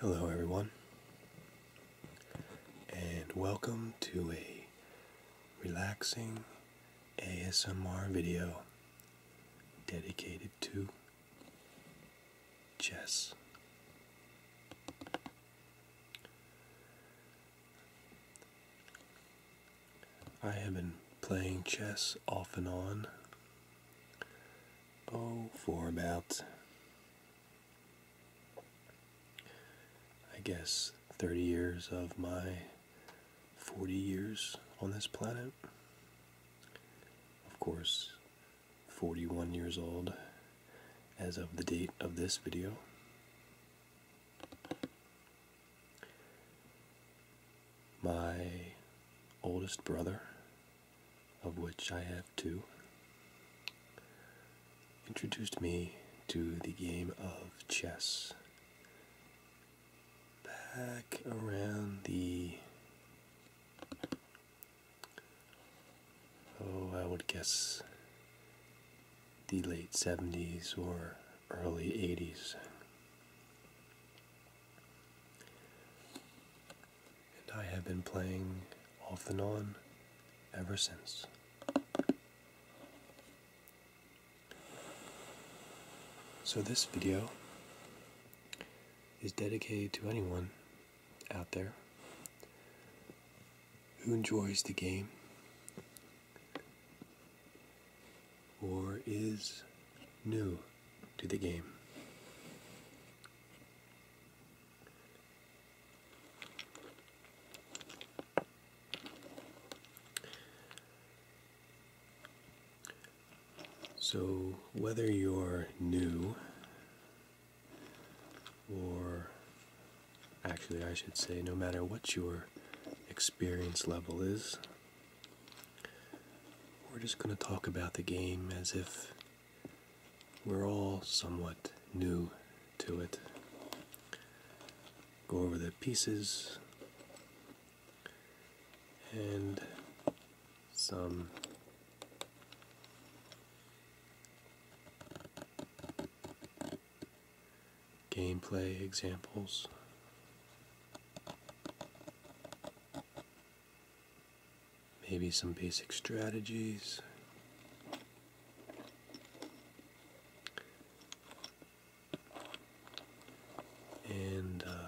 Hello, everyone, and welcome to a relaxing ASMR video dedicated to chess. I have been playing chess off and on Oh, for about, I guess, 30 years of my 40 years on this planet. Of course, 41 years old as of the date of this video. My oldest brother of which I have two, introduced me to the game of chess back around the oh I would guess the late 70s or early 80s and I have been playing off and on ever since. So, this video is dedicated to anyone out there who enjoys the game or is new to the game. So, whether you're new or actually, I should say, no matter what your experience level is, we're just going to talk about the game as if we're all somewhat new to it. Go over the pieces and some gameplay examples maybe some basic strategies. And uh,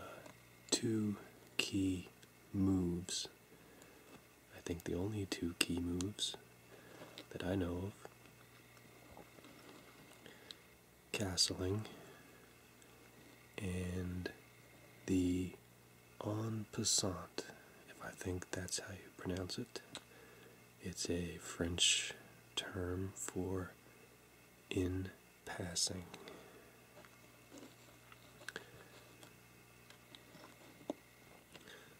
two key moves. I think the only two key moves that I know of castling and the En Passant, if I think that's how you pronounce it. It's a French term for in passing.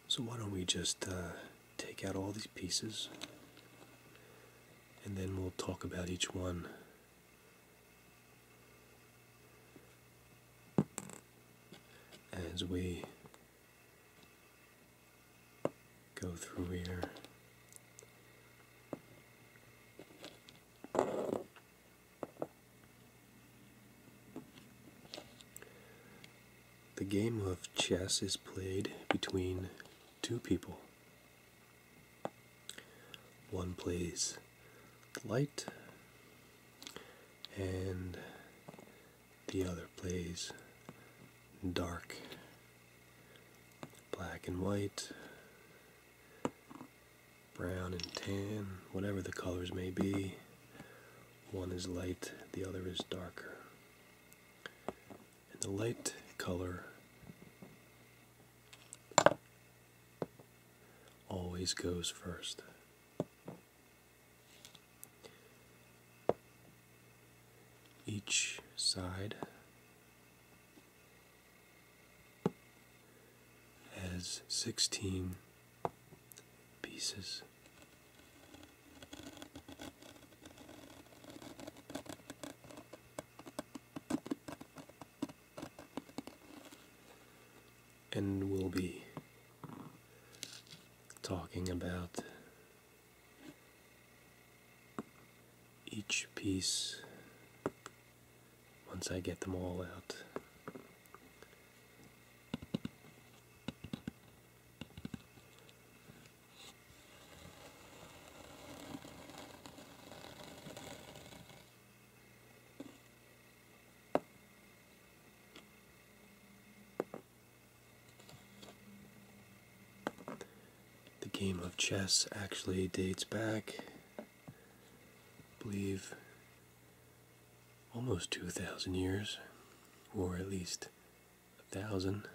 So, why don't we just uh, take out all these pieces and then we'll talk about each one as we go through here. The game of chess is played between two people. One plays light, and the other plays dark black and white brown and tan whatever the colors may be one is light the other is darker and the light color always goes first each side has 16 pieces and we'll be talking about each piece once I get them all out. The game of chess actually dates back, I believe, almost 2,000 years, or at least a thousand.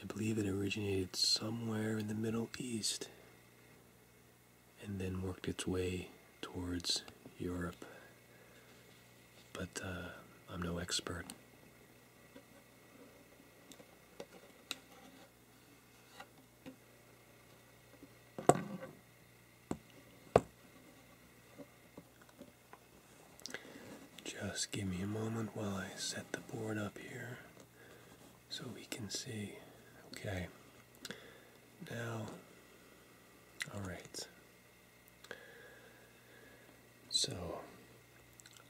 I believe it originated somewhere in the Middle East and then worked its way towards Europe. But uh, I'm no expert. Just give me a moment while I set the board up here so we can see. Okay. Now, all right. So,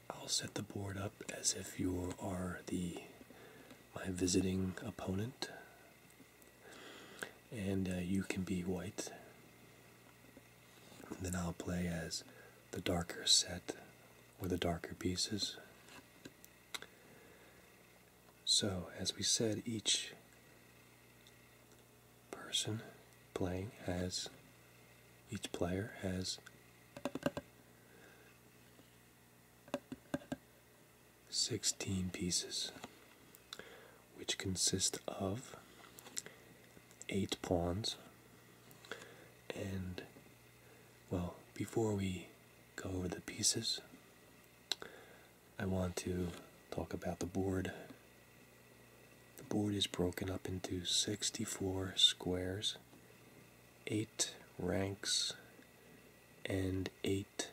I'll set the board up as if you are the my visiting opponent, and uh, you can be white. And then I'll play as the darker set or the darker pieces. So, as we said, each person playing has, each player has sixteen pieces, which consist of eight pawns and well before we go over the pieces I want to talk about the board. The board is broken up into 64 squares, 8 ranks, and 8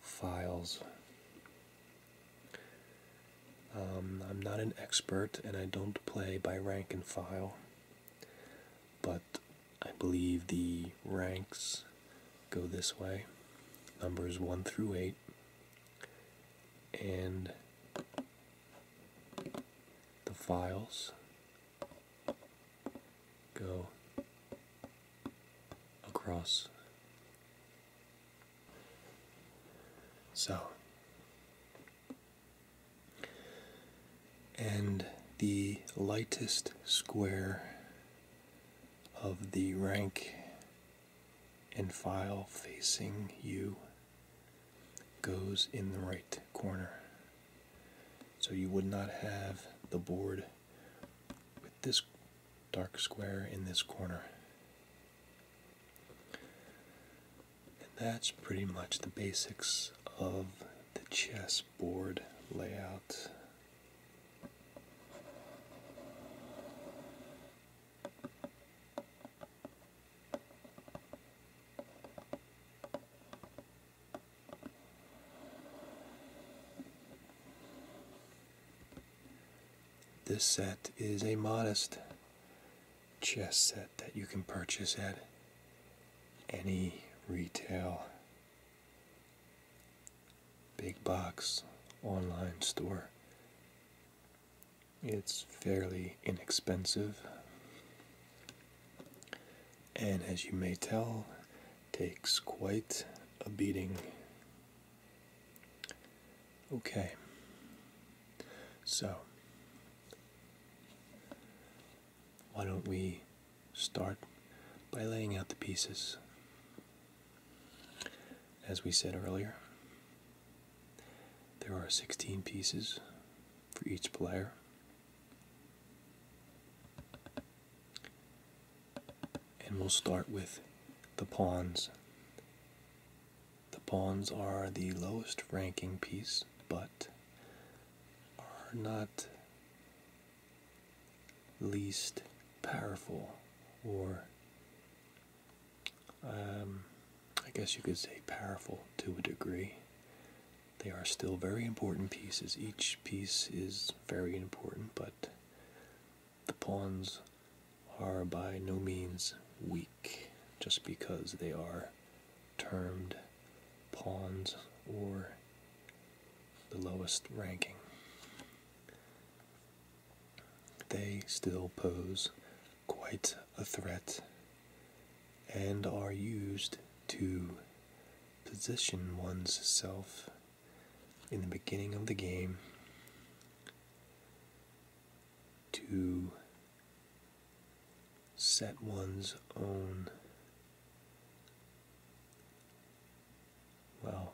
files. Um, I'm not an expert and I don't play by rank and file, but I believe the ranks go this way, numbers 1 through 8, and the files go across. So, and the lightest square of the rank and file facing you goes in the right corner. So you would not have the board with this dark square in this corner. And that's pretty much the basics of the chess board layout. This set is a modest chess set that you can purchase at any retail big box online store. It's fairly inexpensive, and as you may tell, takes quite a beating. Okay, so why don't we start by laying out the pieces? As we said earlier, there are 16 pieces for each player. And we'll start with the pawns. The pawns are the lowest ranking piece, but are not least powerful, or um, I guess you could say powerful to a degree. They are still very important pieces. Each piece is very important, but the pawns are by no means weak just because they are termed pawns or the lowest ranking. They still pose quite a threat and are used to position oneself in the beginning of the game to set one's own well,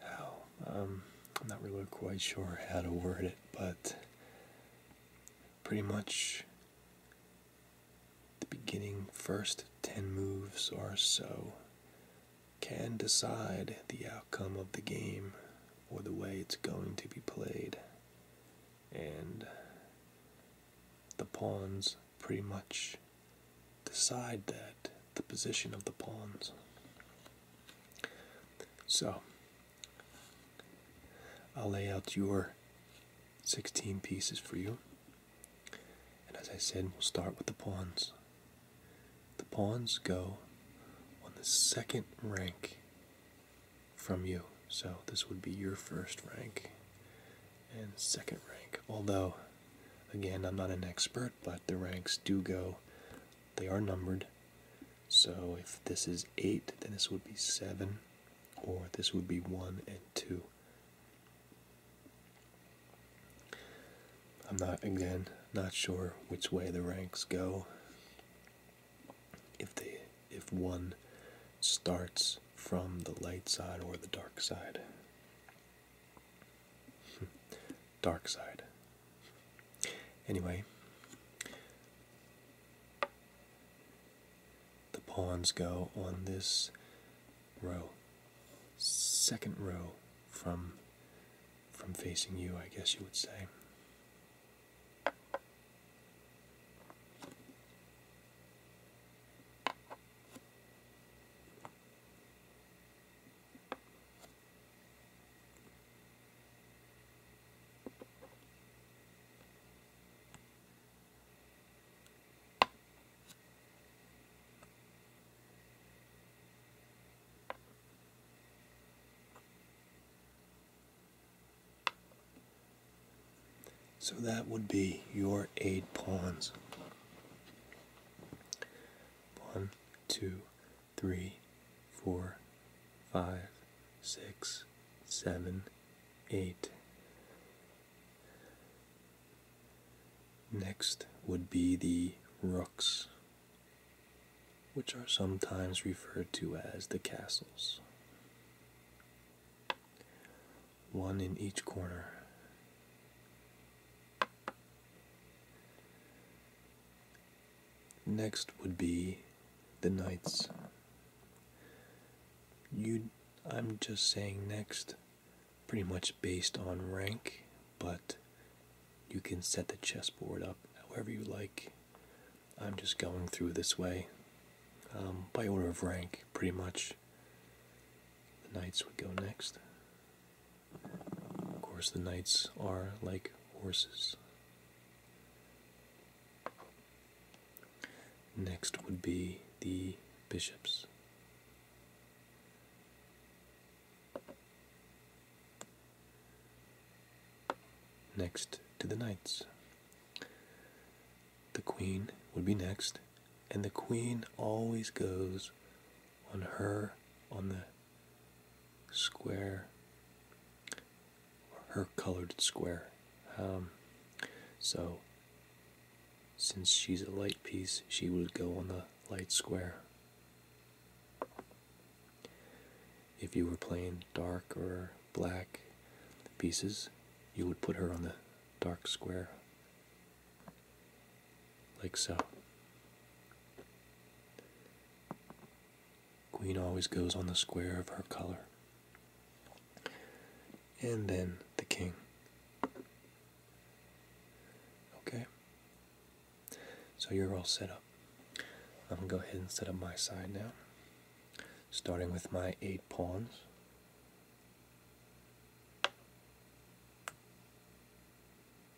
how, um, I'm not really quite sure how to word it, but pretty much the beginning first 10 moves or so can decide the outcome of the game or the way it's going to be played. And the pawns pretty much decide that the position of the pawns. So, I'll lay out your 16 pieces for you. And as I said, we'll start with the pawns. The pawns go on the second rank from you. So this would be your first rank and second rank. Although Again, I'm not an expert, but the ranks do go, they are numbered. So if this is 8, then this would be 7, or this would be 1 and 2. I'm not, again, not sure which way the ranks go. If they, if one starts from the light side or the dark side. Dark side. Anyway, the pawns go on this row, second row from from facing you, I guess you would say. So that would be your eight pawns one, two, three, four, five, six, seven, eight. Next would be the rooks, which are sometimes referred to as the castles. One in each corner. Next would be the knights. You, I'm just saying next, pretty much based on rank, but you can set the chessboard up however you like. I'm just going through this way um, by order of rank, pretty much. The knights would go next. Of course, the knights are like horses. Next would be the bishops. Next to the knights. The queen would be next, and the queen always goes on her on the square her colored square um, so since she's a light piece she would go on the light square if you were playing dark or black pieces you would put her on the dark square like so. Queen always goes on the square of her color. And then the king. Okay. So you're all set up. I'm going to go ahead and set up my side now. Starting with my eight pawns.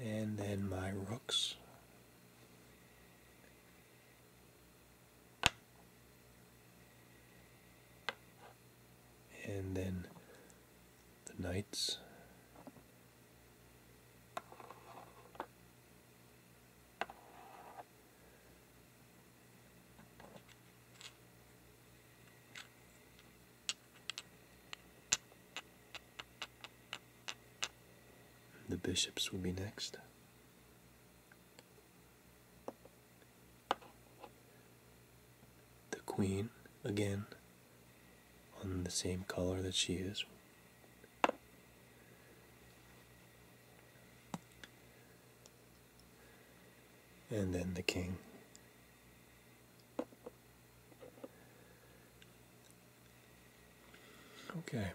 and then my rooks. And then the knights. The bishops will be next. The queen, again, on the same color that she is. And then the king. Okay.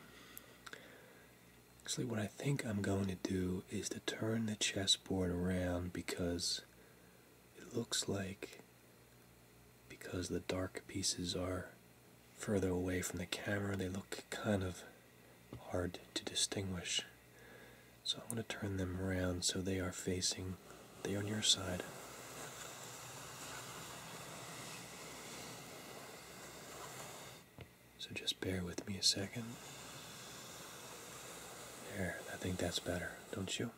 Actually, what I think I'm going to do is to turn the chessboard around because it looks like, because the dark pieces are further away from the camera, they look kind of hard to distinguish. So I'm going to turn them around so they are facing they are on your side. So just bear with me a second. There, I think that's better, don't you?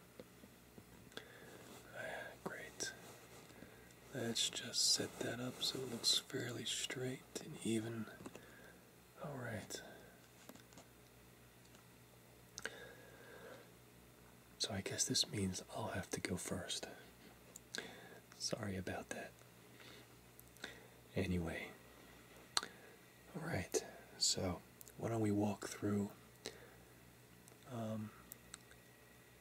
Ah, great. Let's just set that up so it looks fairly straight and even. Alright. So I guess this means I'll have to go first. Sorry about that. Anyway, alright, so why don't we walk through um,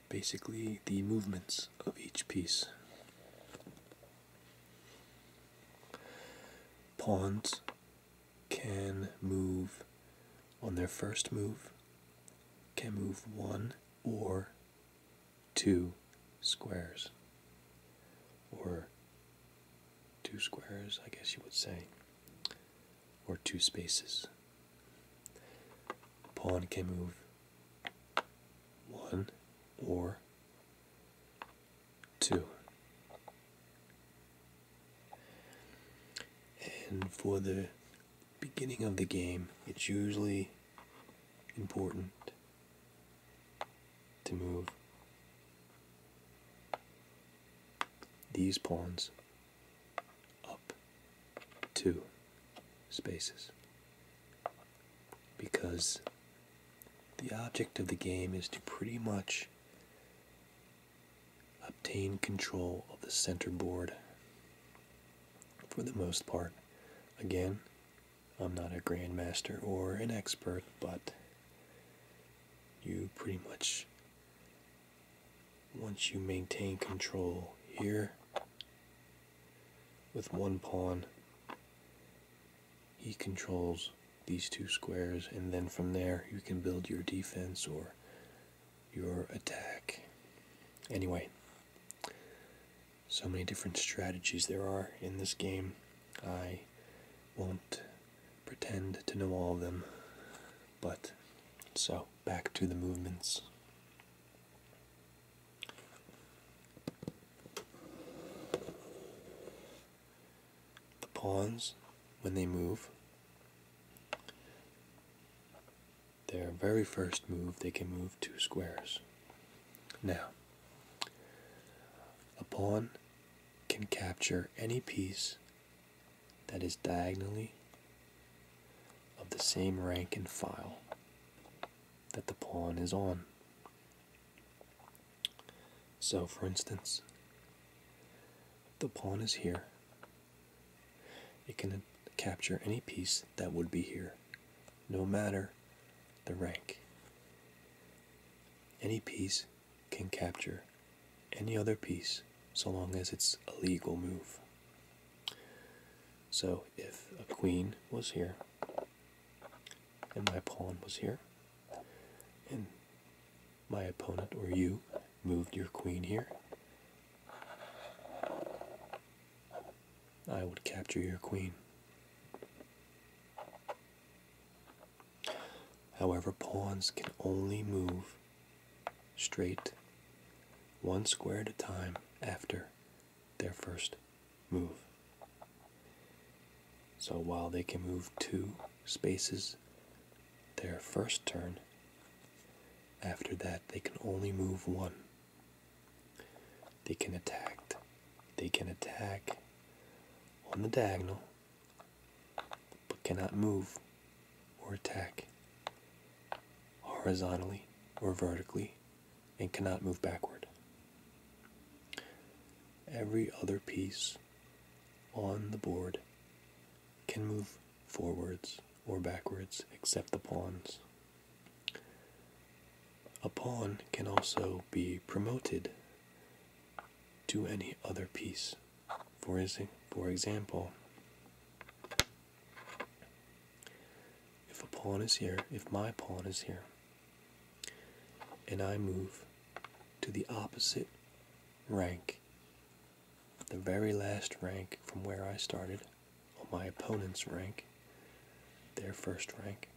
basically the movements of each piece? Pawns can move on their first move can move one or two squares. Or two squares, I guess you would say. Or two spaces. Pawn can move one or two. And for the beginning of the game, it's usually important to move these pawns up two spaces because the object of the game is to pretty much obtain control of the center board for the most part. Again, I'm not a grandmaster or an expert, but you pretty much, once you maintain control here with one pawn, he controls these two squares, and then from there you can build your defense or your attack. Anyway, so many different strategies there are in this game. I won't pretend to know all of them, but so back to the movements. The pawns, when they move, their very first move, they can move two squares. Now, a pawn can capture any piece that is diagonally of the same rank and file that the pawn is on. So, for instance, the pawn is here, it can capture any piece that would be here, no matter the rank. Any piece can capture any other piece so long as it's a legal move. So if a queen was here, and my pawn was here, and my opponent or you moved your queen here. I would capture your queen. However, pawns can only move straight one square at a time after their first move. So while they can move two spaces their first turn, after that, they can only move one. They can attack. They can attack on the diagonal, but cannot move or attack horizontally or vertically and cannot move backward. Every other piece on the board can move forwards or backwards except the pawns. A pawn can also be promoted to any other piece. For, for example, if a pawn is here, if my pawn is here, and I move to the opposite rank the very last rank from where I started on my opponent's rank, their first rank,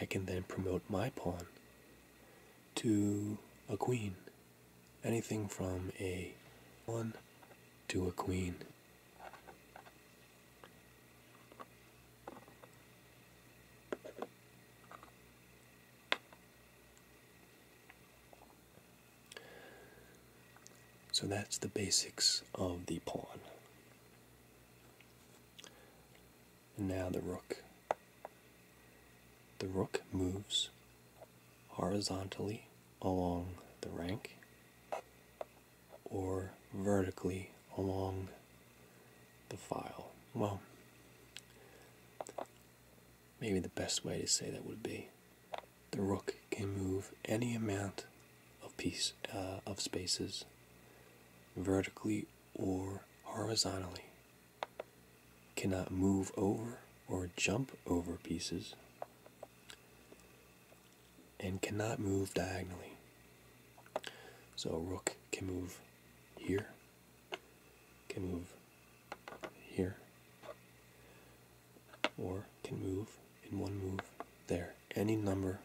I can then promote my pawn to a queen. Anything from a one, to a queen. So that's the basics of the pawn. And now the rook. The rook moves horizontally along the rank or vertically along the file. Well, maybe the best way to say that would be the rook can move any amount of piece uh, of spaces vertically or horizontally cannot move over or jump over pieces and cannot move diagonally so a rook can move here can move here or can move in one move there any number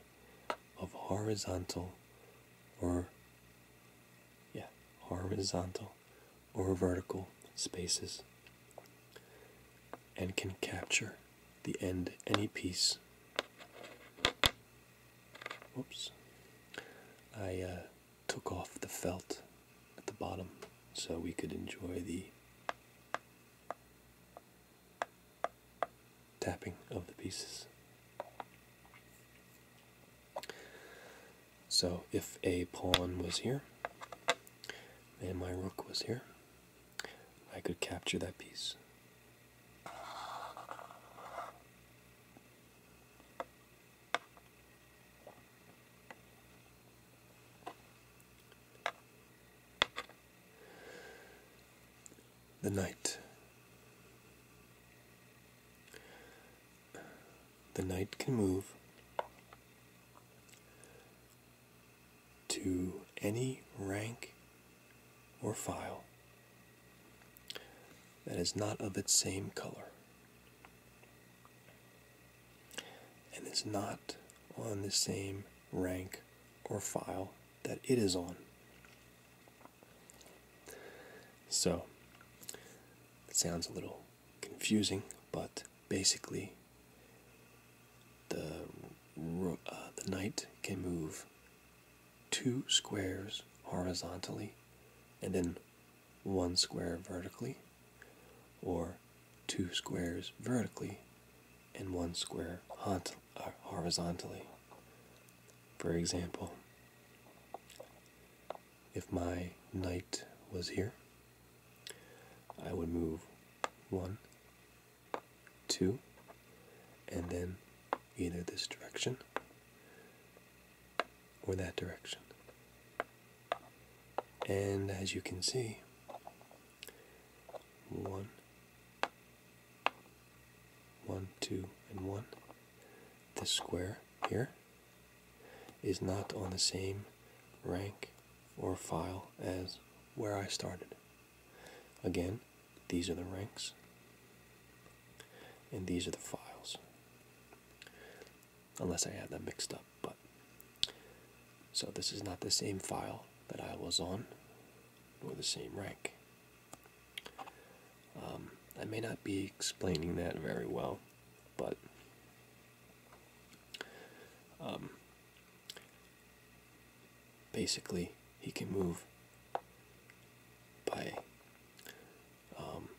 of horizontal or yeah horizontal or vertical spaces and can capture the end any piece oops I uh, took off the felt at the bottom so we could enjoy the tapping of the pieces. So if a pawn was here and my rook was here, I could capture that piece the knight. The knight can move to any rank or file that is not of its same color and it's not on the same rank or file that it is on. So, it sounds a little confusing, but basically, the, uh, the knight can move two squares horizontally and then one square vertically, or two squares vertically and one square uh, horizontally. For example, if my knight was here, I would move one, two, and then either this direction or that direction. And as you can see, one, one, two, and one. This square here is not on the same rank or file as where I started. Again, these are the ranks and these are the files. Unless I had them mixed up but so this is not the same file that I was on nor the same rank um, I may not be explaining that very well but um, basically he can move by um,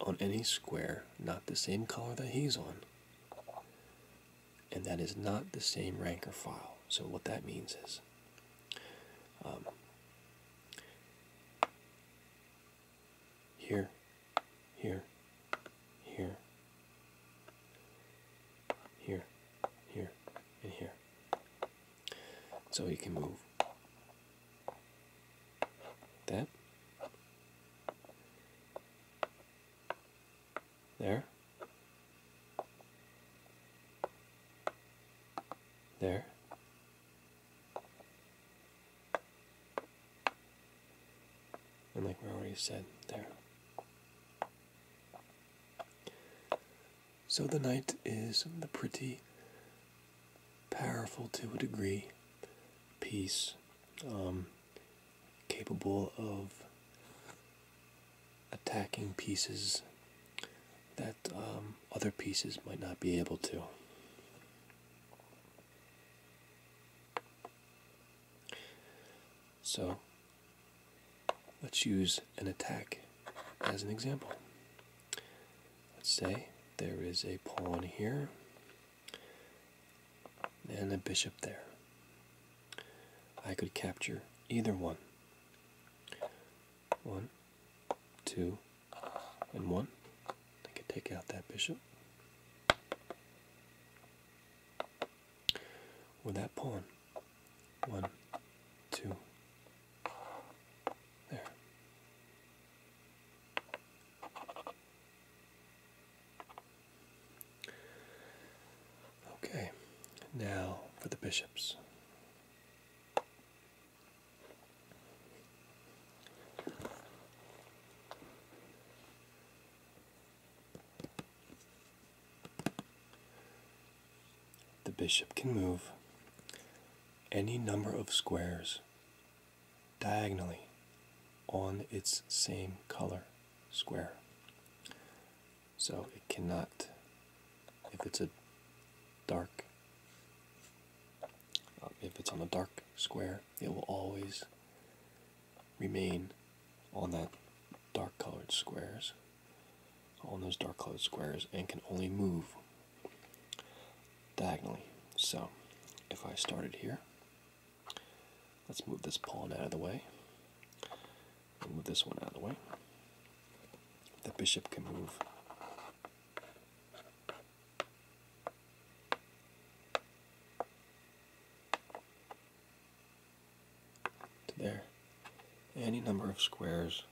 on any square not the same color that he's on and that is not the same ranker file. So what that means is um, here, here, here, here, here, and here. So you can move that there. There. And like we already said, there. So the knight is the pretty powerful to a degree piece. Um, capable of attacking pieces that um, other pieces might not be able to. So let's use an attack as an example. Let's say there is a pawn here and a bishop there. I could capture either one. One, two, and one. I could take out that bishop. Or that pawn. One, two, there. Okay, now for the bishops. The bishop can move any number of squares diagonally on its same color square. So it cannot, if it's a dark, uh, if it's on a dark square, it will always remain on that dark colored squares, on those dark colored squares, and can only move diagonally. So if I started here, Let's move this pawn out of the way. move this one out of the way. The bishop can move to there. Any number of squares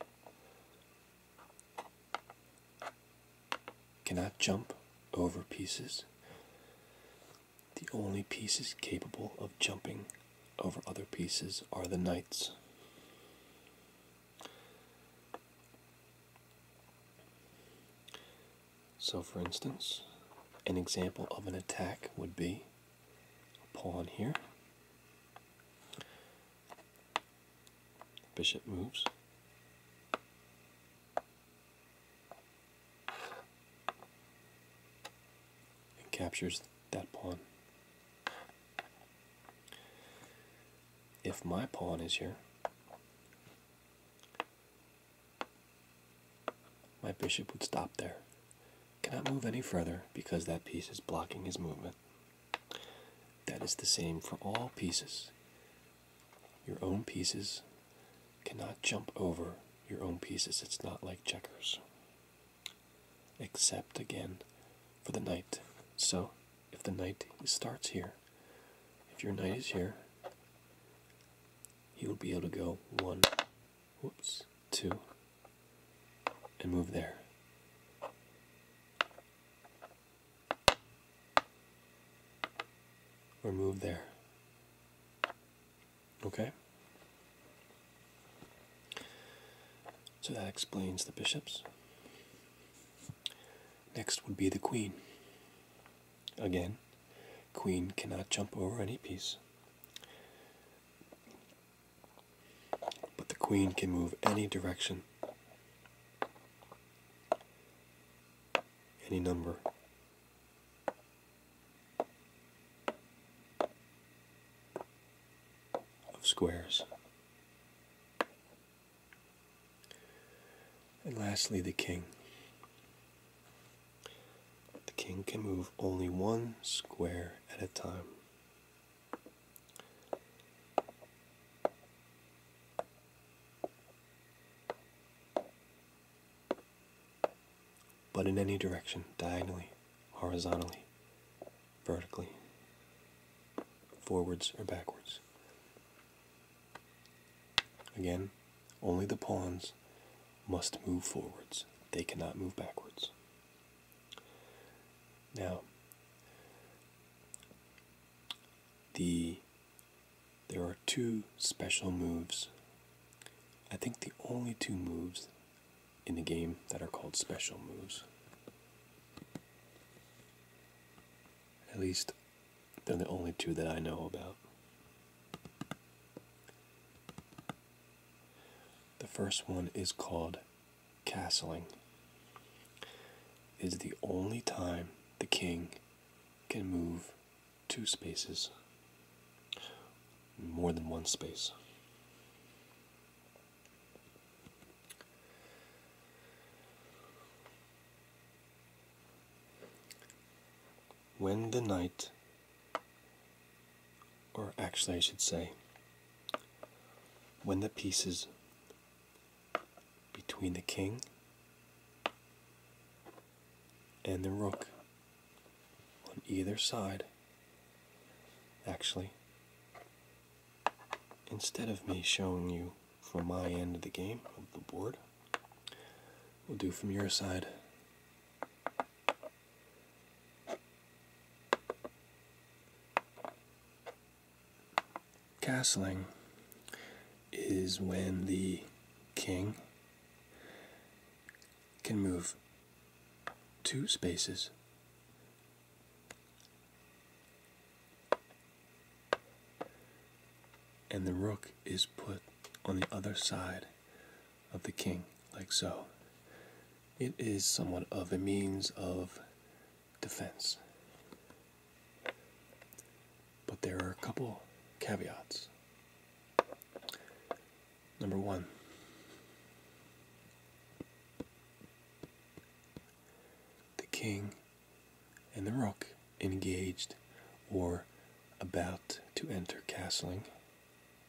cannot jump over pieces. The only pieces capable of jumping over other pieces are the knights. So, for instance, an example of an attack would be a pawn here. Bishop moves and captures that pawn. If my pawn is here, my bishop would stop there. Cannot move any further because that piece is blocking his movement. That is the same for all pieces. Your own pieces cannot jump over your own pieces. It's not like checkers. Except again for the knight. So if the knight starts here, if your knight is here, he will be able to go one, whoops, two, and move there. Or move there. Okay? So that explains the bishops. Next would be the queen. Again, queen cannot jump over any piece. But the queen can move any direction, any number of squares. And lastly, the king. The king can move only one square at a time but in any direction, diagonally, horizontally, vertically, forwards or backwards. Again, only the pawns must move forwards. They cannot move backwards. Now, the there are two special moves I think the only two moves in the game that are called special moves. At least they're the only two that I know about. The first one is called castling. Is the only time the king can move two spaces, more than one space. When the night, or actually, I should say, when the pieces between the king and the rook on either side. Actually, instead of me showing you from my end of the game of the board, we'll do from your side. Castling is when the king can move two spaces and the rook is put on the other side of the king, like so. It is somewhat of a means of defense. But there are a couple caveats. Number one. The king and the rook engaged or about to enter castling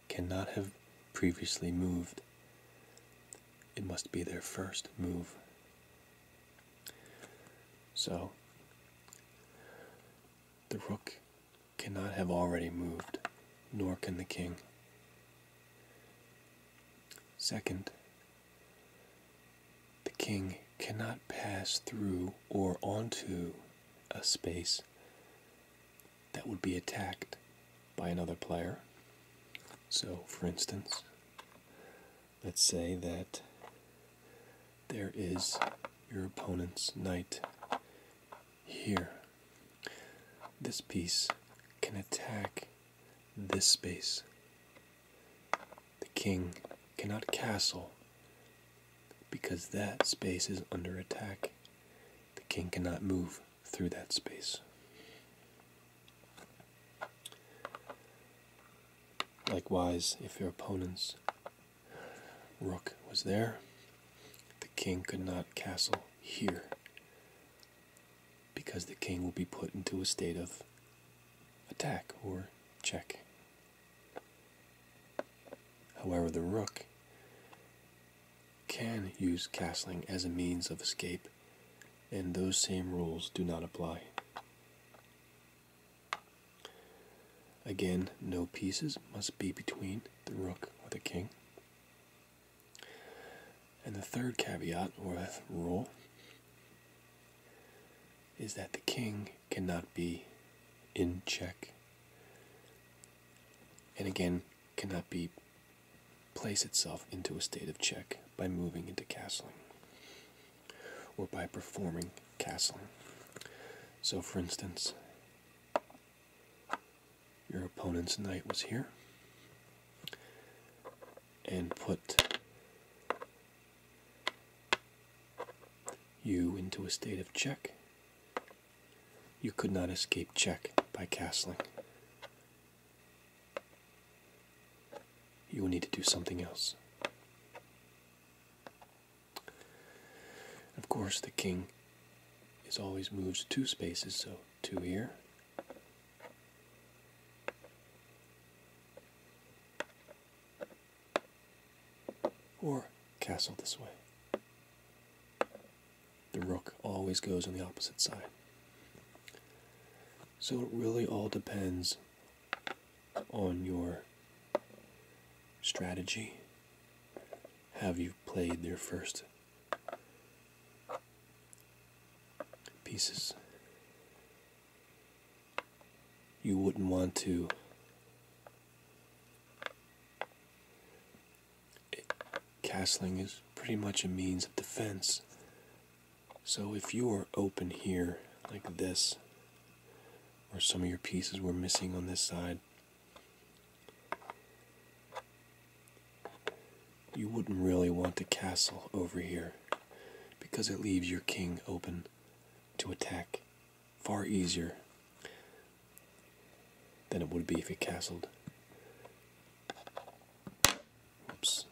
cannot have previously moved. It must be their first move. So the rook cannot have already moved, nor can the king. Second, the king cannot pass through or onto a space that would be attacked by another player. So, for instance, let's say that there is your opponent's knight here. This piece can attack this space. The king cannot castle because that space is under attack. The king cannot move through that space. Likewise, if your opponent's rook was there, king could not castle here because the king will be put into a state of attack or check. However, the rook can use castling as a means of escape, and those same rules do not apply. Again, no pieces must be between the rook or the king. And the third caveat or rule is that the king cannot be in check and again cannot be place itself into a state of check by moving into castling or by performing castling. So for instance, your opponent's knight was here and put you into a state of check. You could not escape check by castling. You will need to do something else. Of course, the king is always moves two spaces, so two here. Or castle this way. The rook always goes on the opposite side. So it really all depends on your strategy. Have you played their first pieces you wouldn't want to castling is pretty much a means of defense so if you are open here like this or some of your pieces were missing on this side you wouldn't really want a castle over here because it leaves your king open to attack far easier than it would be if it castled. Oops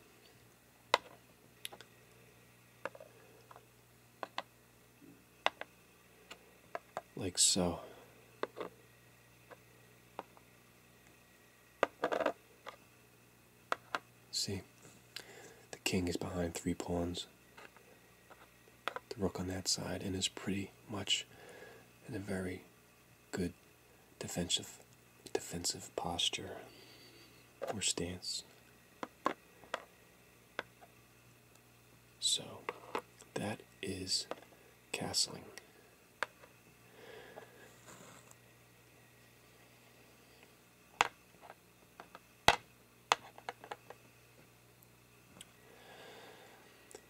like so. See, the king is behind three pawns. The rook on that side and is pretty much in a very good defensive defensive posture or stance. So that is castling.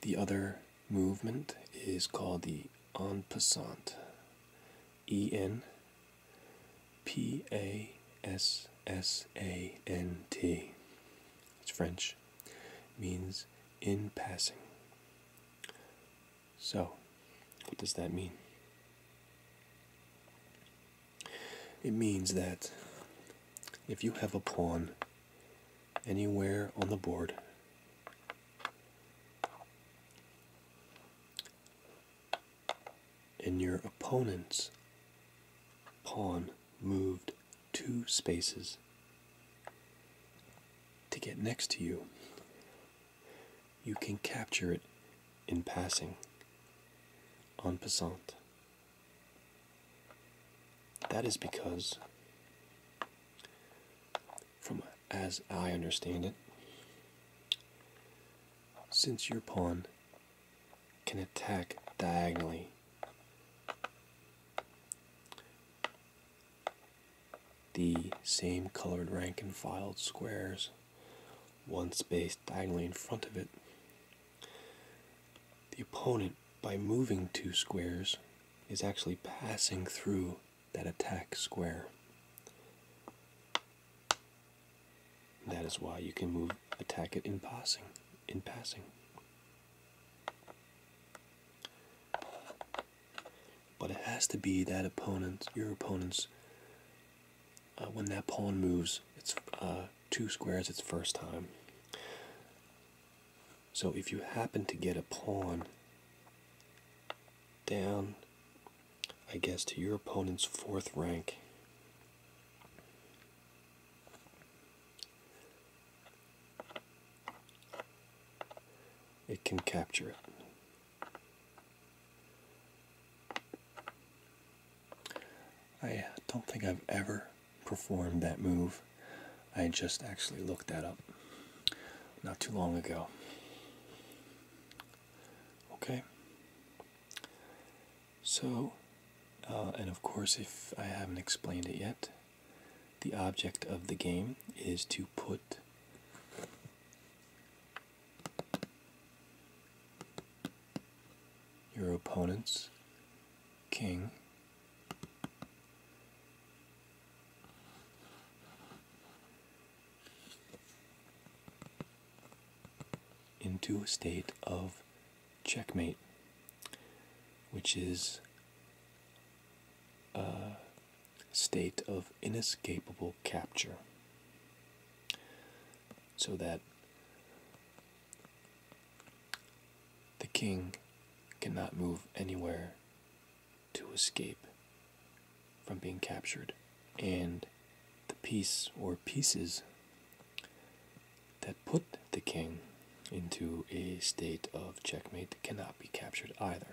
The other movement is called the en passant. E N P A S S A N T. It's French means in passing. So, what does that mean? It means that if you have a pawn anywhere on the board, and your opponent's pawn moved two spaces to get next to you. You can capture it in passing, en passant. That is because, from as I understand it, since your pawn can attack diagonally the same colored rank and filed squares, one space diagonally in front of it. The opponent, by moving two squares, is actually passing through that attack square. That is why you can move attack it in passing in passing. But it has to be that opponent, your opponent's, uh, when that pawn moves, it's uh, two squares its first time. So if you happen to get a pawn down, I guess, to your opponent's fourth rank, it can capture it. I uh, don't think I've ever performed that move. I just actually looked that up not too long ago. Okay. So, uh, and of course, if I haven't explained it yet, the object of the game is to put your opponent's king into a state of checkmate, which is a uh, state of inescapable capture. So that the king cannot move anywhere to escape from being captured, and the piece or pieces that put the king into a state of checkmate cannot be captured either.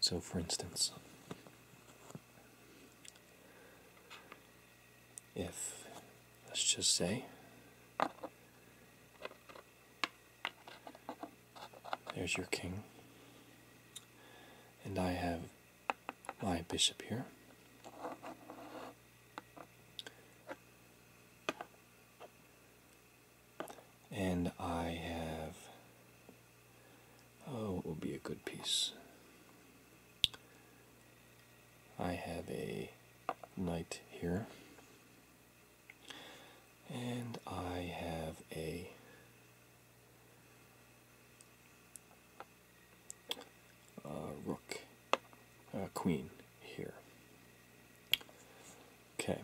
So, for instance, if let's just say there's your king, and I have my bishop here and I have oh, it will be a good piece. I have a knight here, and I have a uh, rook, queen here. Okay.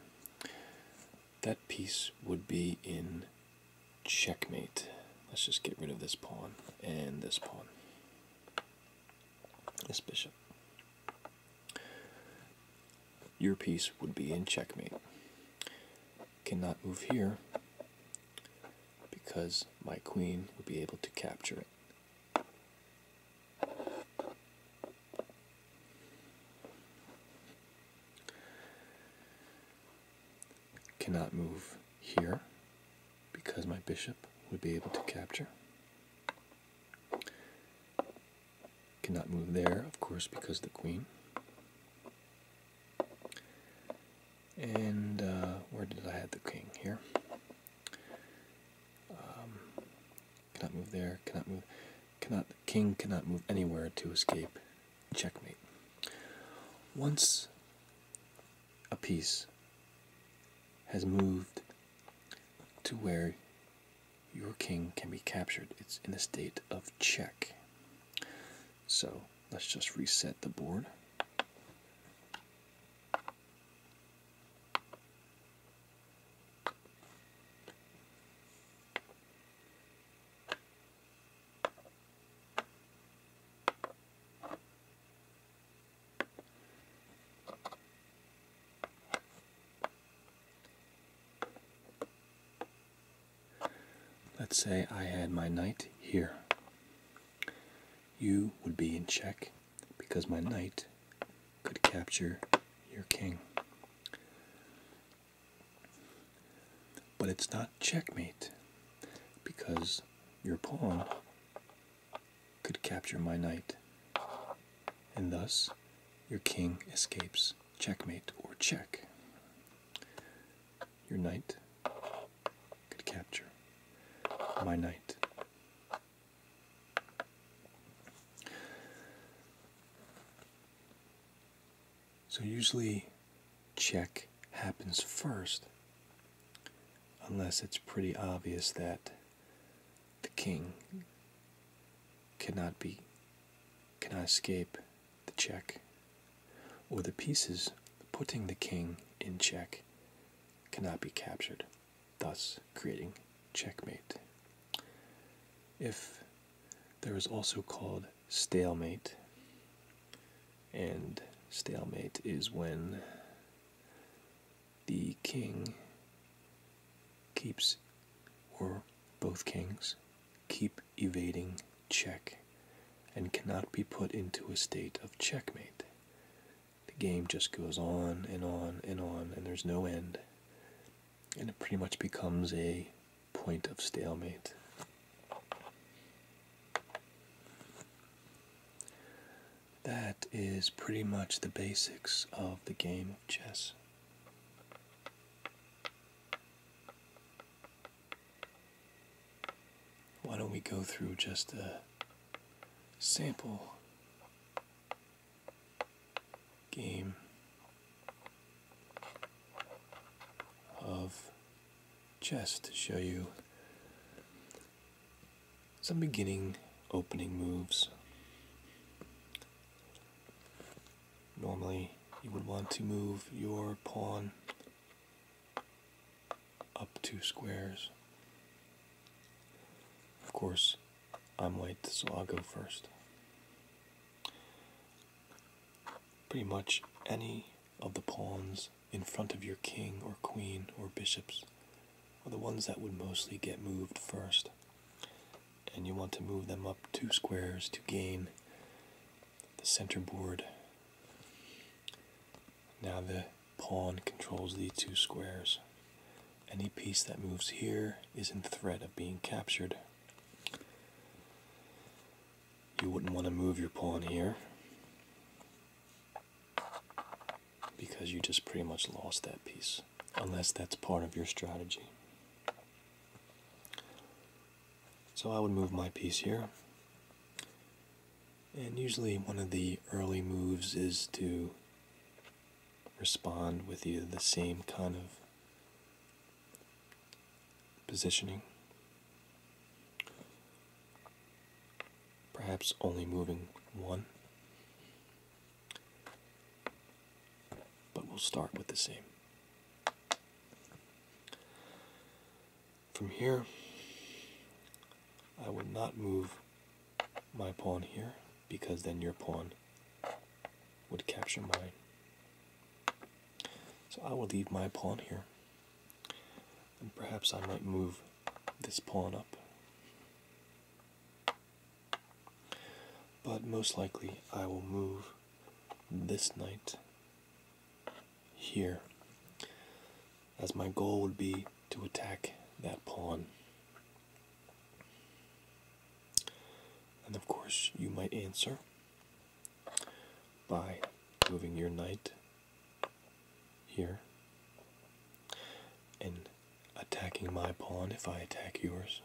That piece would be in checkmate. Let's just get rid of this pawn and this pawn. This bishop. Your piece would be in checkmate. Cannot move here because my queen would be able to capture it. Cannot move here because my bishop would be able to capture. Cannot move there, of course, because the queen. And uh, where did I have the king here? Um, Cannot move there. Cannot move. Cannot king cannot move anywhere to escape checkmate. Once a piece has moved to where your king can be captured, it's in a state of check. So let's just reset the board. Let's say I had my knight here. You would be in check because my knight could capture your king. But it's not checkmate because your pawn could capture my knight, and thus your king escapes checkmate or check. Your knight could capture my knight. So usually check happens first, unless it's pretty obvious that the king cannot be cannot escape the check, or the pieces putting the king in check cannot be captured, thus creating checkmate. If there is also called stalemate. And stalemate is when the king keeps, or both kings, keep evading check and cannot be put into a state of checkmate. The game just goes on and on and on, and there's no end and it pretty much becomes a point of stalemate. That is pretty much the basics of the game of chess. Why don't we go through just a sample game of chess to show you some beginning opening moves. Normally, you would want to move your pawn up two squares. Of course, I'm white, so I'll go first. Pretty much any of the pawns in front of your king or queen or bishops are the ones that would mostly get moved first. And you want to move them up two squares to gain the center board. Now the pawn controls these two squares. Any piece that moves here is in threat of being captured. You wouldn't want to move your pawn here because you just pretty much lost that piece, unless that's part of your strategy. So I would move my piece here. And usually one of the early moves is to respond with either the same kind of positioning. Perhaps only moving one. But we'll start with the same. From here, I would not move my pawn here because then your pawn would capture mine. So I will leave my pawn here. And perhaps I might move this pawn up. But most likely I will move this knight here, as my goal would be to attack that pawn. And of course, you might answer by moving your knight here and attacking my pawn if I attack yours,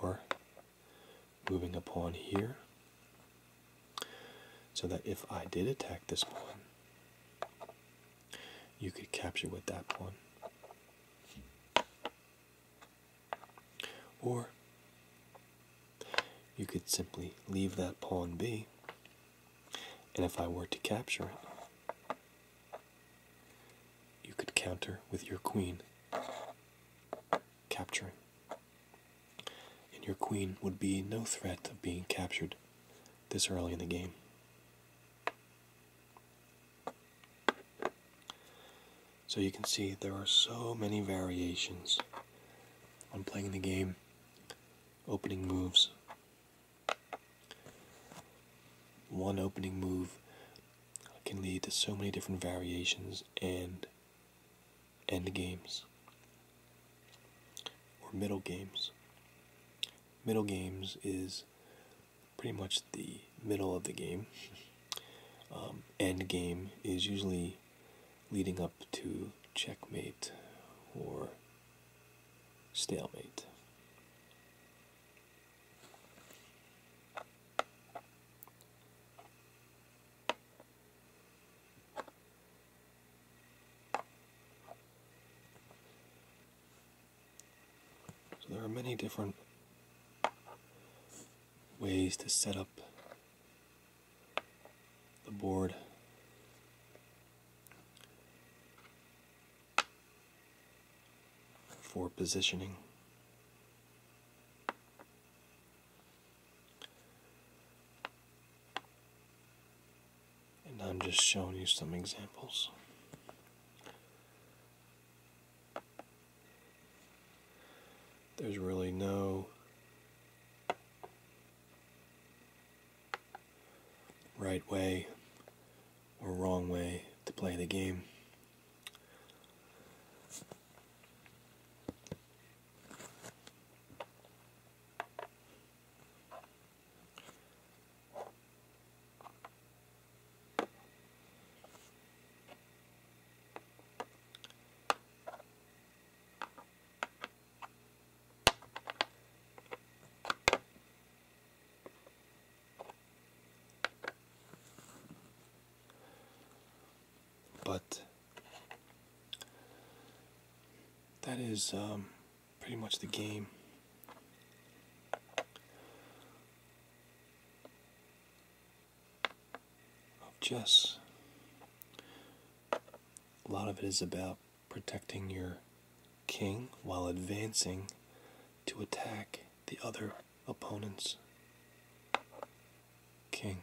or moving a pawn here so that if I did attack this pawn, you could capture with that pawn. Or you could simply leave that pawn be, and if I were to capture it, you could counter with your queen capturing. And your queen would be no threat of being captured this early in the game. So you can see there are so many variations on playing the game, opening moves. One opening move can lead to so many different variations and end games or middle games. Middle games is pretty much the middle of the game. Um, end game is usually leading up to checkmate or stalemate. So there are many different ways to set up the board. for positioning. And I'm just showing you some examples. There's really no right way or wrong way to play the game. But that is um, pretty much the game of just a lot of it is about protecting your king while advancing to attack the other opponent's king.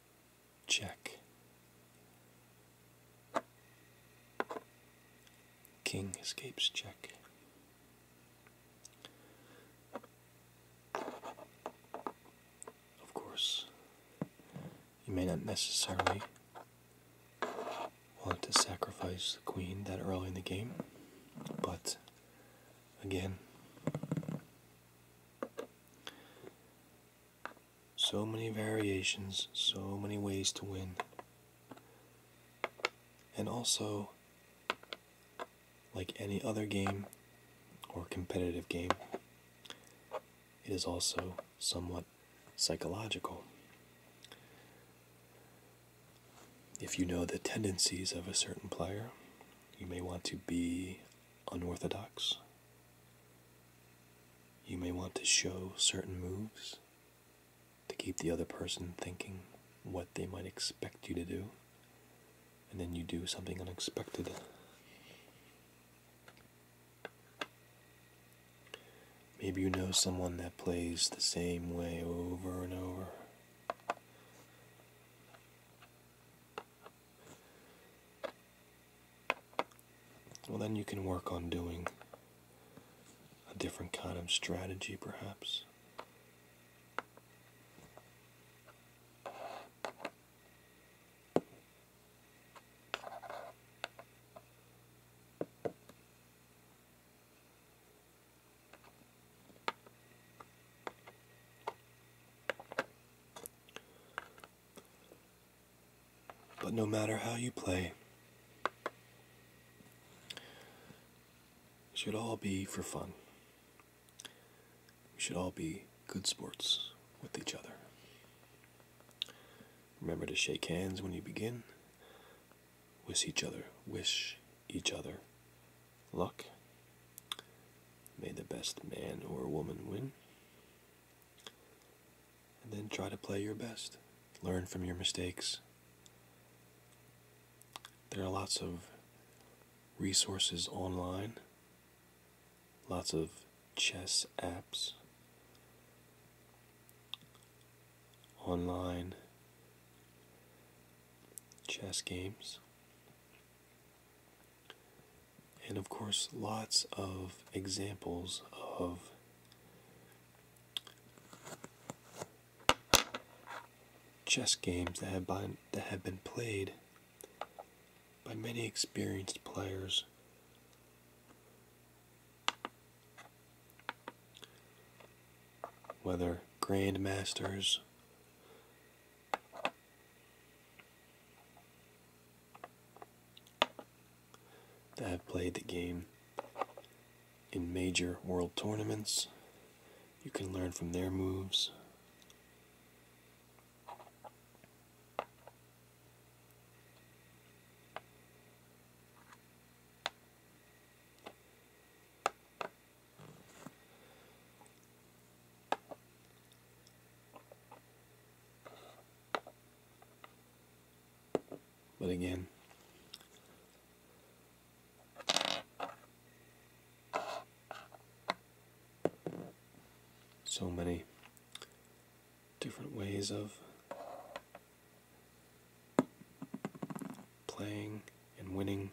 Check. King escapes check. Of course, you may not necessarily want to sacrifice the queen that early in the game, but again, so many variations, so many ways to win. And also, like any other game or competitive game, it is also somewhat psychological. If you know the tendencies of a certain player, you may want to be unorthodox. You may want to show certain moves to keep the other person thinking what they might expect you to do, and then you do something unexpected. Maybe you know someone that plays the same way over and over. Well, then you can work on doing a different kind of strategy, perhaps. But no matter how you play, it should all be for fun. We should all be good sports with each other. Remember to shake hands when you begin. Wish each other, wish each other luck May the best man or woman win. And then try to play your best. Learn from your mistakes. There are lots of resources online, lots of chess apps, online chess games and of course, lots of examples of chess games that have been, that have been played by many experienced players. Whether grandmasters that have played the game in major world tournaments. You can learn from their moves. But again, so many different ways of playing and winning.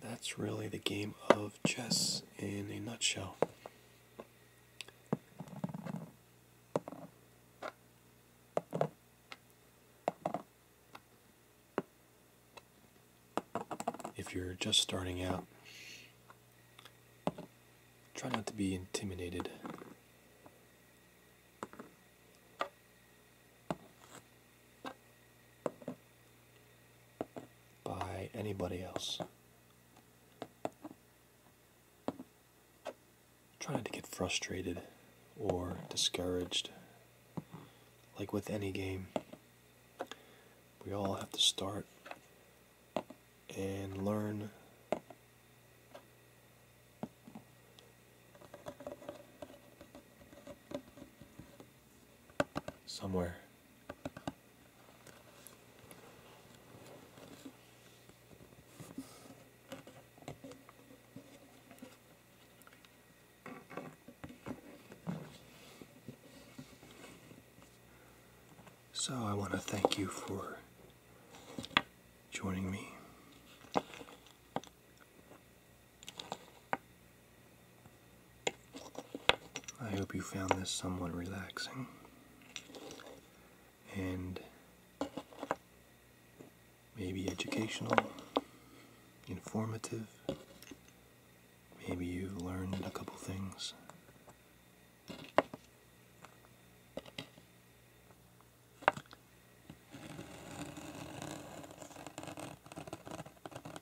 that's really the game of chess in a nutshell. If you're just starting out, try not to be intimidated by anybody else. Try not to get frustrated or discouraged. Like with any game, we all have to start and learn somewhere. So I want to thank you for joining me I hope you found this somewhat relaxing and maybe educational, informative. Maybe you learned a couple things.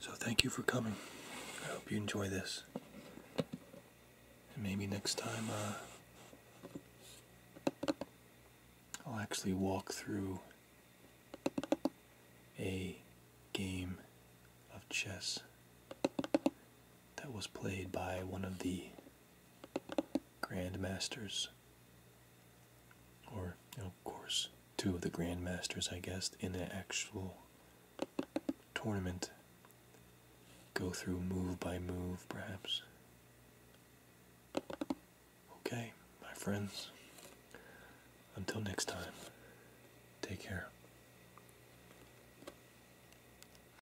So thank you for coming. I hope you enjoy this. And maybe next time uh, I'll actually walk through a game of chess that was played by one of the grandmasters, or of course, two of the grandmasters, I guess, in the actual tournament. Go through move by move, perhaps. Okay, my friends, until next time, take care.